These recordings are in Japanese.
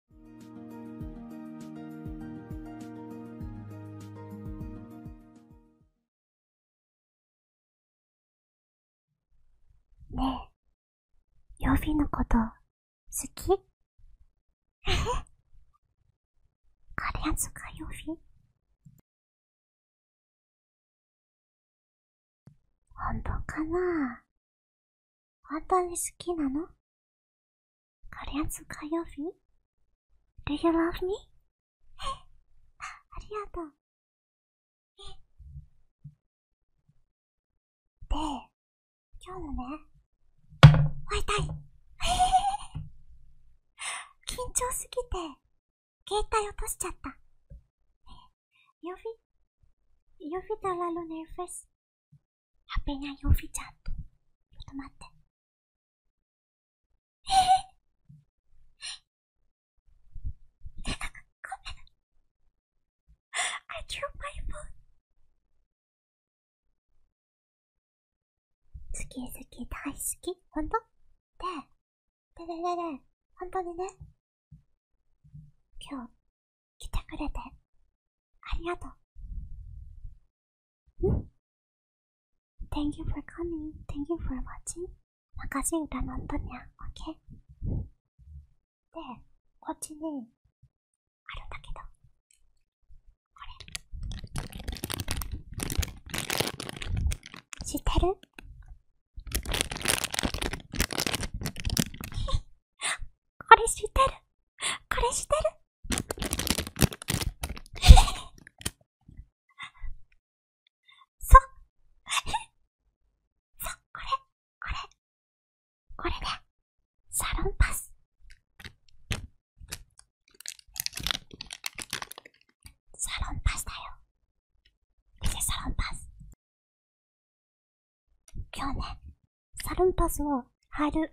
ねえ、ヨフのこと好きえへカ本当かな本当に好きなの ?Korean's Kayofi? Do you love me? ありがとう。で、今日のね、会いたい緊張すぎて、携帯落としちゃった。Eu vi, eu vi da la luna e fez. happenia yofichando. Tomate. I drew my phone. 好き好き大好きほんとで、でででで、ほんとにね、今日、来てくれて、ありがとう。ん Thank you for coming. Thank you for watching. 막까지일어난거 냐, 오케 이? 네, 코치는아름답게 도. 그 래. 시테 르? これ知ってる。これ知ってる。そう。そう、これ、これ。これね。サロンパス。サロンパスだよ。見て、サロンパス。今日ね、サルンパスを貼る ASMR だよ。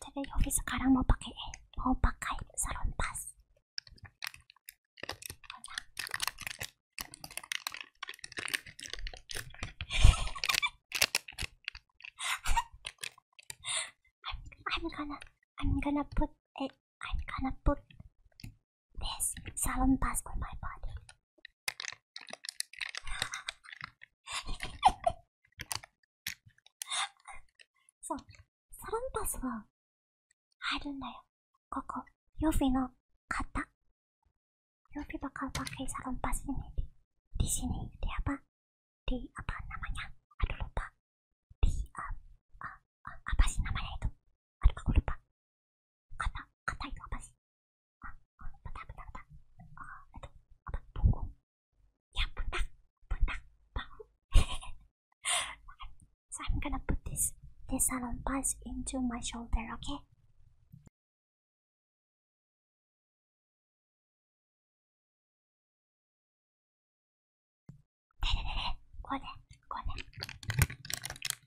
テレビオフィスからもパケ、大バカいサルンパス。I'm, I'm gonna, I'm gonna put it, I'm gonna put This salon pass for my body. so, サロンパスは入るんだよ。ここ、予備の買った。予備ば買うばっかりサロンパスにね。di sini di apa di apa namanya aduh lupa di uh, uh, uh, apa sih namanya itu アルカゴルパ。かた、かたいよ、私。あ、あ、ぶたぶたぶた。あ、えっと、あ、ば、ぼこ。いや、ぶた、ぶた、ばん。so I'm gonna put this, this salon pass into my shoulder, okay? ちょっと待っ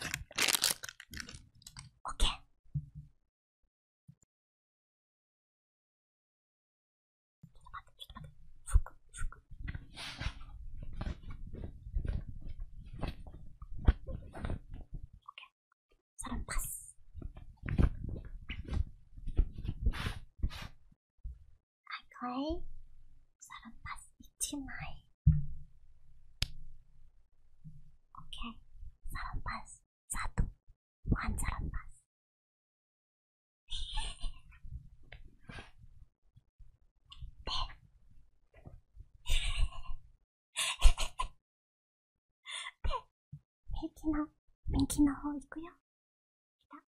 て。オッケー。ちょっと待って、ちょっと待って。服、服。オッケー。さらにパス。はいはい。サラパス1枚。OK。サラパス1。1サラパス。で。で、右の、右の方行くよ。来た。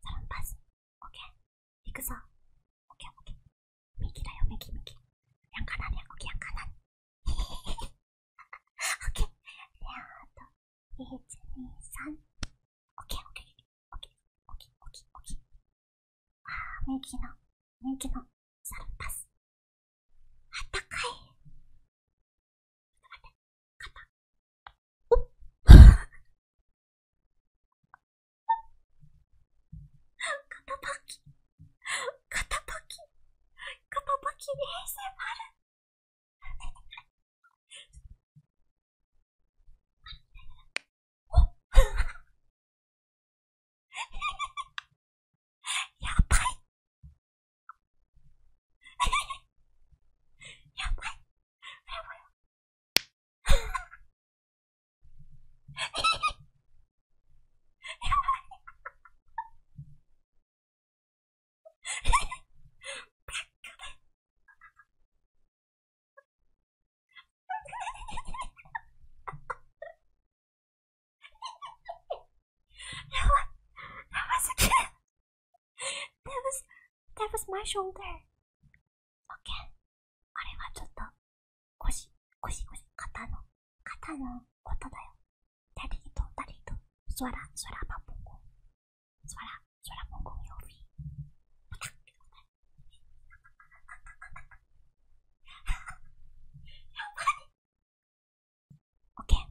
サロンパス。オッケー。いくぞ。オッケーオッケー。右だよ、右、右。やんかなね、オッケーやんかなね。オッケー。で、あと、1、2、3。オッケーオッケー。オッケー、オッケー、オッケー、オッケー。あー、右の、右の、サロンパス。あったかい。肩パキ。肩パキ。肩パキに平成丸。やばい。やばい。やば、やばすぎる。That o u e r Okay. あれはちょっと、腰、腰、腰、肩の、肩のことだよ。ダリーと、ダリーと、ソラ、ソラマポコ。ソラ、ソラモコヨフィ。やオケー。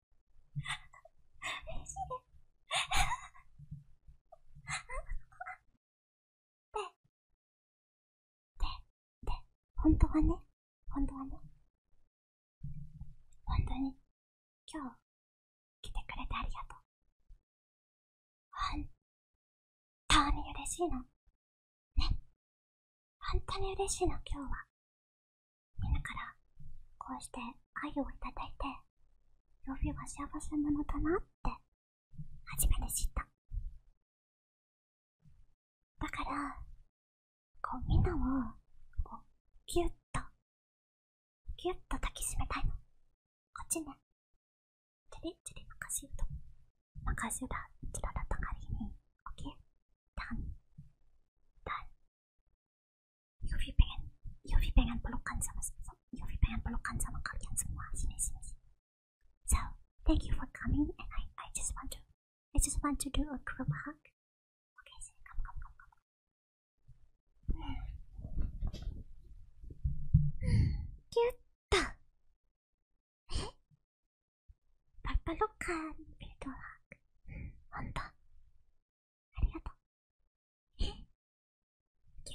嬉しいです。本当本当はね、本当に、今日、来てくれてありがとう。本当に嬉しいの。ね。本当に嬉しいの、今日は。みんなからこうして愛をいただいて曜日は幸せなのだなって初めて知っただからこうみんなをこうギュッとギュッと抱きしめたいのこっちねチリチリ任せると任せらちロらたがりに OK たんたん UV pengen UV pengen pelukan sama UV pengen pelukan sama kalian semua sini sini so thank you for coming and I I just want to I just want to do a group hug okay sini kamu kamu kamu kamu cute perpelukan virtual hug 本当ありがとう。えギュ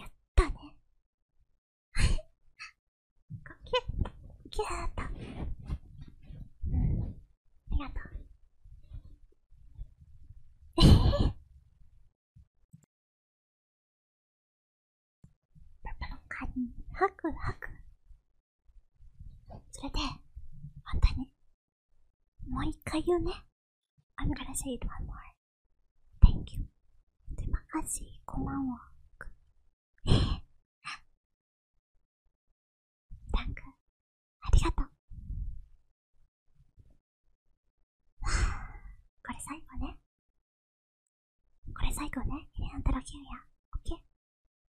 ッとね。こうギュッ、ギューッと。ありがとう。えへパパのカニ、ハクハク。それで、本当にもう一回言うね。I'm gonna say it one more. Thank you. Terima kasih. Konbanwa. Thank you. ありがとう。これ最後ね。これ最後ね。エレアントロキュンや。オッケ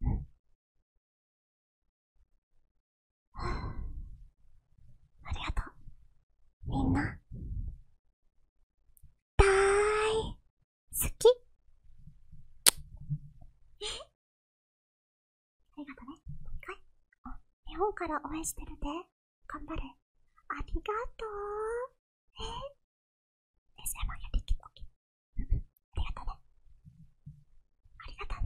ーうん。ありがとう。みんな、だーい、好きえ、ありがとね。か回あ、日本から応援してるで。頑張れ。ありがとう。ええ、ありがとね。ありがとね。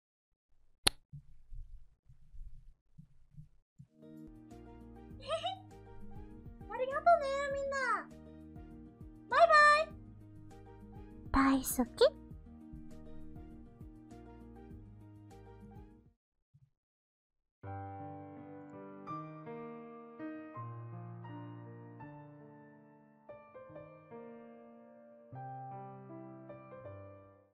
ありがとねみんなバイバイ大好き